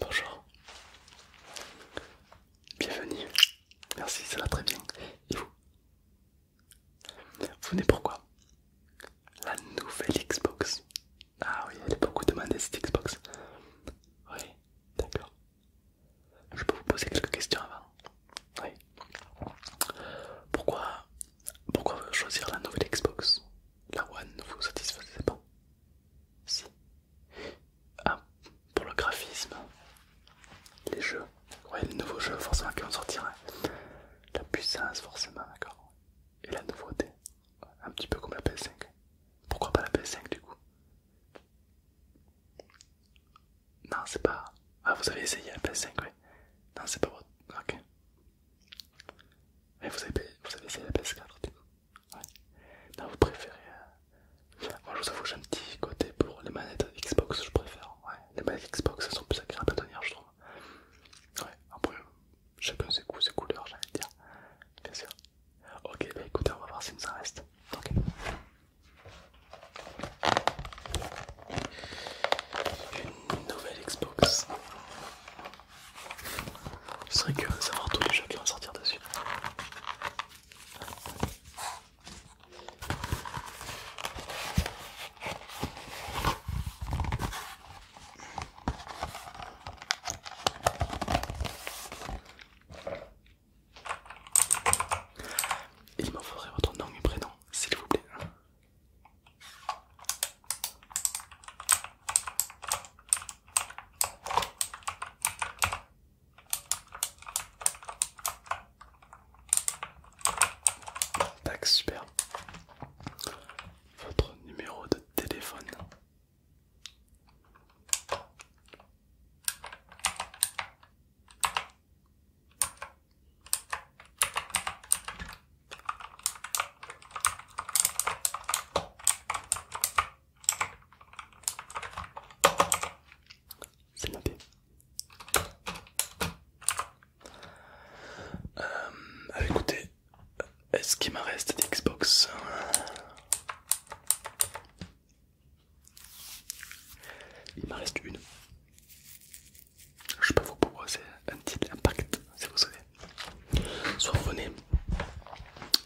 Bonjour, bienvenue, merci, ça va très bien. Et vous Vous venez pourquoi La nouvelle Xbox. Ah oui, elle est beaucoup demandée cette Xbox. Oui, d'accord. Je peux vous poser quelques questions avant. Oui. Pourquoi, pourquoi choisir la nouvelle Xbox La One ne vous satisfaisait pas Si. Ah, pour le graphisme, les jeux. les nouveaux jeux forcément qui vont sortir. Hein. La puissance forcément, d'accord. Et la nouveauté. Un petit peu comme la PS5. Pourquoi pas la PS5 du coup non, c'est pas. Ah, vous avez essayé la PS5, ouais. Non, c'est pas votre. Ok. Mais vous avez, vous avez essayé la PS4, du coup. Ouais. Non, vous préférez. Euh, moi, je vous avoue, j'ai un petit côté pour les manettes Xbox, je préfère. les manettes Xbox, elles sont plus agréables à tenir, je trouve. Ouais, après, chacun ses goûts, ses couleurs, j'allais dire. Bien sûr. Ok, bah écoutez, on va voir si nous en reste. Ok. Une nouvelle Xbox. Je serais curieux de savoir tous les jeux qui vont sortir dessus. Il me faudrait votre nom et prénom, s'il vous plaît. Tac, super. Votre numéro de téléphone. C'est noté. Euh, écoutez, est-ce qu'il me reste d'Xbox Xbox il m'en reste une. Je peux vous proposer un petit impact, si vous savez. Soit vous venez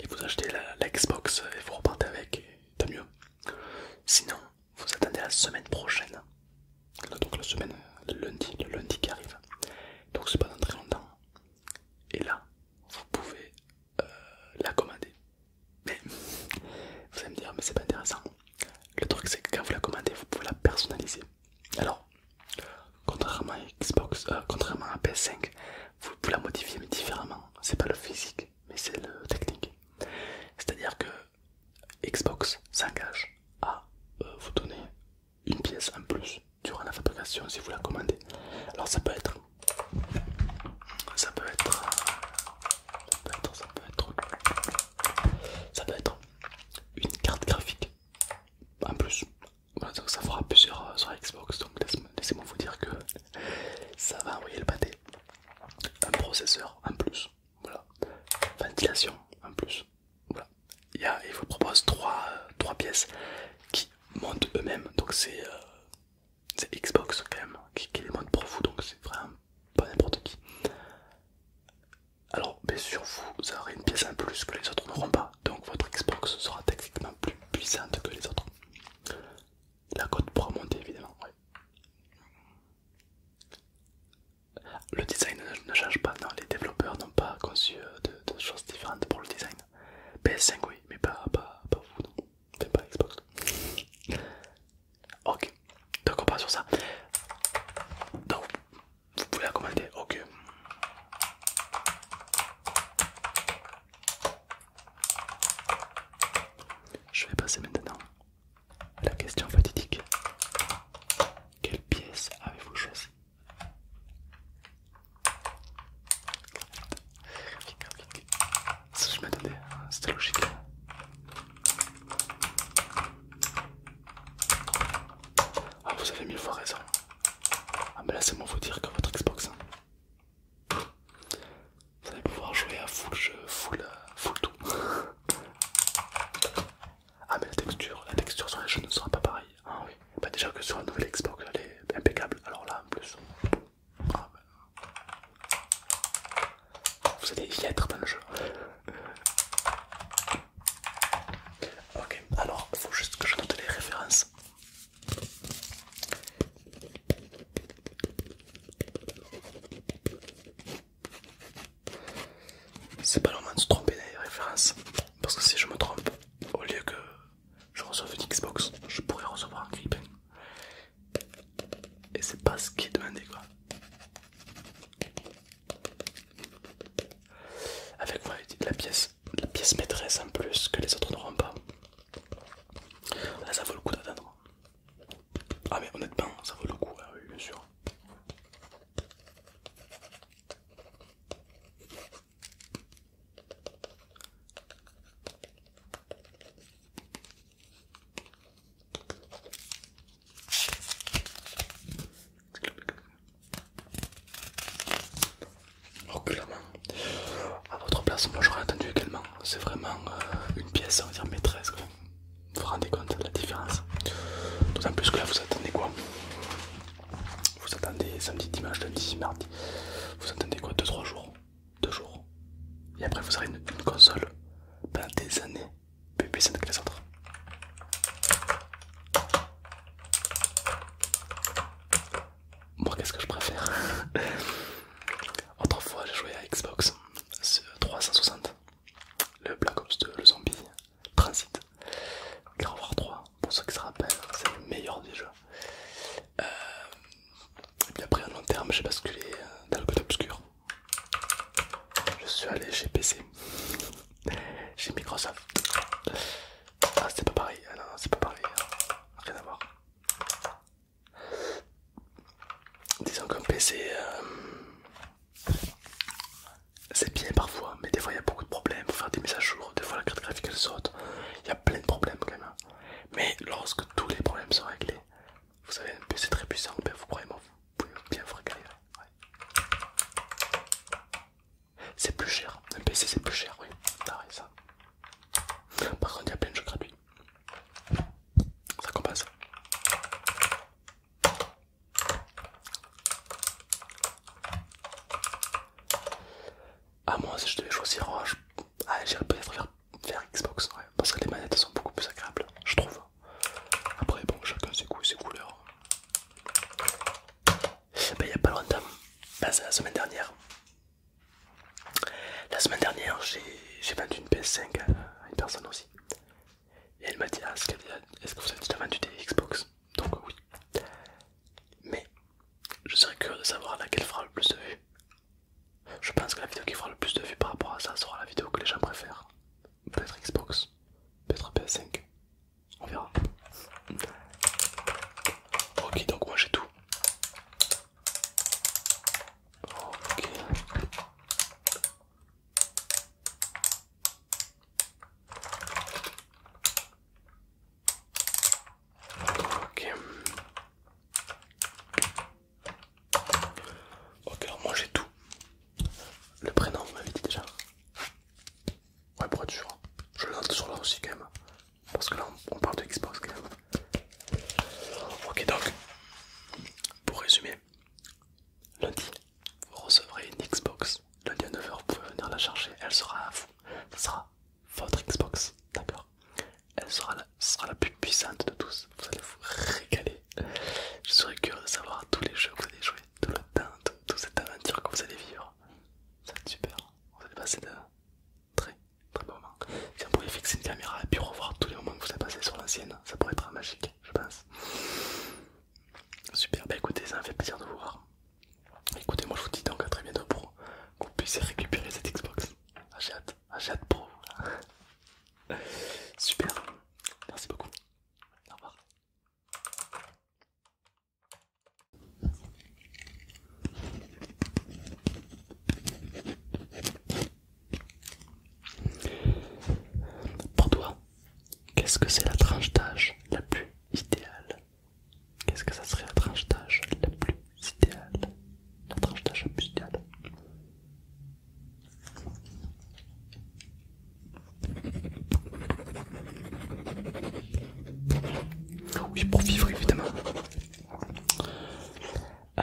et vous achetez la, Xbox et vous repartez avec, et tant mieux. Sinon, vous attendez la semaine prochaine. Donc la semaine, lundi, lundi qui arrive. Donc c'est pas dans très longtemps. Et là, vous pouvez euh, la commander. Mais vous allez me dire, mais c'est pas intéressant. Le truc, c'est que quand vous la commandez, vous pouvez la personnaliser. Alors, contrairement à Xbox, euh, contrairement à PS5, vous, pouvez la modifier mais différemment. C'est pas le physique, mais c'est le technique. C'est-à-dire que Xbox s'engage à euh, vous donner une pièce en plus durant la fabrication si vous la commandez. Alors ça peut être euh, ça peut être... Ça peut être... Ça peut être... une carte graphique. En plus, voilà, donc ça fera plusieurs sur Xbox. Donc laissez-moi vous dire que ça va envoyer le pâté. Un processeur en plus. Voilà. Ventilation en plus. Voilà. Il, vous propose trois, euh, trois pièces qui montent eux-mêmes. Donc c'est... Euh, c'est Xbox quand même qui, les monte pour vous, donc c'est vraiment pas n'importe qui. Alors bien sûr vous aurez une pièce en plus que les autres n'auront pas, donc votre Xbox sera techniquement plus puissante que les autres. La cote pourra monter évidemment, Le design ne change pas, non, les développeurs n'ont pas conçu euh, de choses différentes pour le design. PS5 oui, mais pas, pas vous non. Enfin, pas Xbox. ok, donc on part sur ça. Donc vous pouvez la commander, ok. Je vais passer maintenant à la question fatidique. Quelle pièce avez-vous choisi je m'attendais, c'était logique. Ah, vous avez mille fois raison. Ah, mais là, c'est bon, dire que votre Xbox. Hein. Vous allez pouvoir jouer à full jeu, full, euh, tout. ah, mais la texture, la texture sur les jeux ne sera pas pareille. Ah oui, bah, déjà que sur un nouvelle Xbox elle est impeccable, alors là en plus. Ah, bah. Vous allez y être dans le jeu. Ok, alors faut juste que je note les références. C'est pas le moment de se tromper les références parce que si je me trompe, au lieu que je reçois une Xbox, je pourrais recevoir un Gripen. Et c'est pas ce qui est demandé quoi. Avec la pièce, la pièce maîtresse en plus que les autres n'auront pas. Ah, ça vaut le coup d'attendre. Ah, mais honnêtement, ça vaut le coup, hein, oui, bien sûr. OK oh, À votre place, moi j'aurais attendu également. C'est vraiment euh, une pièce, on va dire maîtresse. Vous vous rendez compte de la différence D'autant plus que là, vous attendez quoi vous attendez samedi, dimanche, lundi, mardi. Vous attendez quoi 2-3 jours 2 jours. Et après vous aurez une, console pendant des années plus puissante que les autres. Moi qu'est-ce que je préfère Autrefois j'ai joué à Xbox 360. Le Black Ops 2, le zombie, Transit. carrefour 3, pour ceux qui se rappellent, c'est le meilleur des jeux. et puis après, à long terme, j'ai basculé euh, dans le côté obscur. Je suis allé chez PC, chez Microsoft. Ah, c'est pas pareil, ah, non, c'est pas pareil, rien à voir. Disons qu'un PC. Euh, c'est bien parfois, mais des fois il y a beaucoup de problèmes pour faire des mises à jour, des fois la carte graphique elle saute, il y a plein de problèmes quand même. Hein. Mais lorsque tous les problèmes sont réglés, vous avez un PC très puissant, ben, vous croyez-moi, vous pouvez bien vous régaler. Hein. C'est plus cher, un PC c'est plus cher, oui, ça. Par contre, il y a plein de jeux gratuits, ça compense à moi si je devais choisir, ah, j'irais peut-être faire Xbox, parce que les manettes sont beaucoup plus agréables, je trouve. Après bon, chacun ses goûts, ses couleurs. il n'y a pas longtemps, bah, la semaine dernière. La semaine dernière, j'ai vendu une PS5 à une personne aussi. Et elle m'a dit, ah, est-ce que vous avez déjà vendu des Xbox donc oui. Mais je serais curieux de savoir laquelle fera le plus de vues. Je pense que la vidéo qui fera le plus de vues par rapport à ça sera la vidéo que les gens préfèrent. Peut-être Xbox, peut-être PS5, on verra. Ok, donc moi j'ai tout. Ok. Ok, alors moi j'ai tout. Le prénom, vous m'avez dit déjà. Ouais, pour être sûr. Je le note sur là aussi quand même. Parce que là on parle de Xbox quand même. Ok, donc, pour résumer, Lundi, vous recevrez une Xbox. Lundi à 9h, vous pouvez venir la chercher. Elle sera à vous. Ce sera votre Xbox. D'accord Elle sera la, plus puissante de tous. Vous allez vous régaler. Je serais curieux de savoir tous les jeux que vous allez jouer, tout le temps, toute cette aventure que vous allez vivre. Ça va être super. Vous allez passer de très très beaux moments. Si on pouvait fixer une caméra et puis revoir tous les moments que vous avez passés sur l'ancienne, ça pourrait être magique, je pense. Super, bah, écoutez, ça me fait plaisir de vous voir. Écoutez, moi je vous dis donc à très bientôt pour vous puissiez récupérer cette Xbox. Achète, j'ai Pro. Ah, pour Super, merci beaucoup. Au revoir. Pour toi, Qu'est-ce que c'est la tranche d'âge la plus idéale Qu'est-ce que ça serait la tranche d'âge la plus idéale La tranche d'âge la plus idéale oui, pour vivre évidemment. Euh,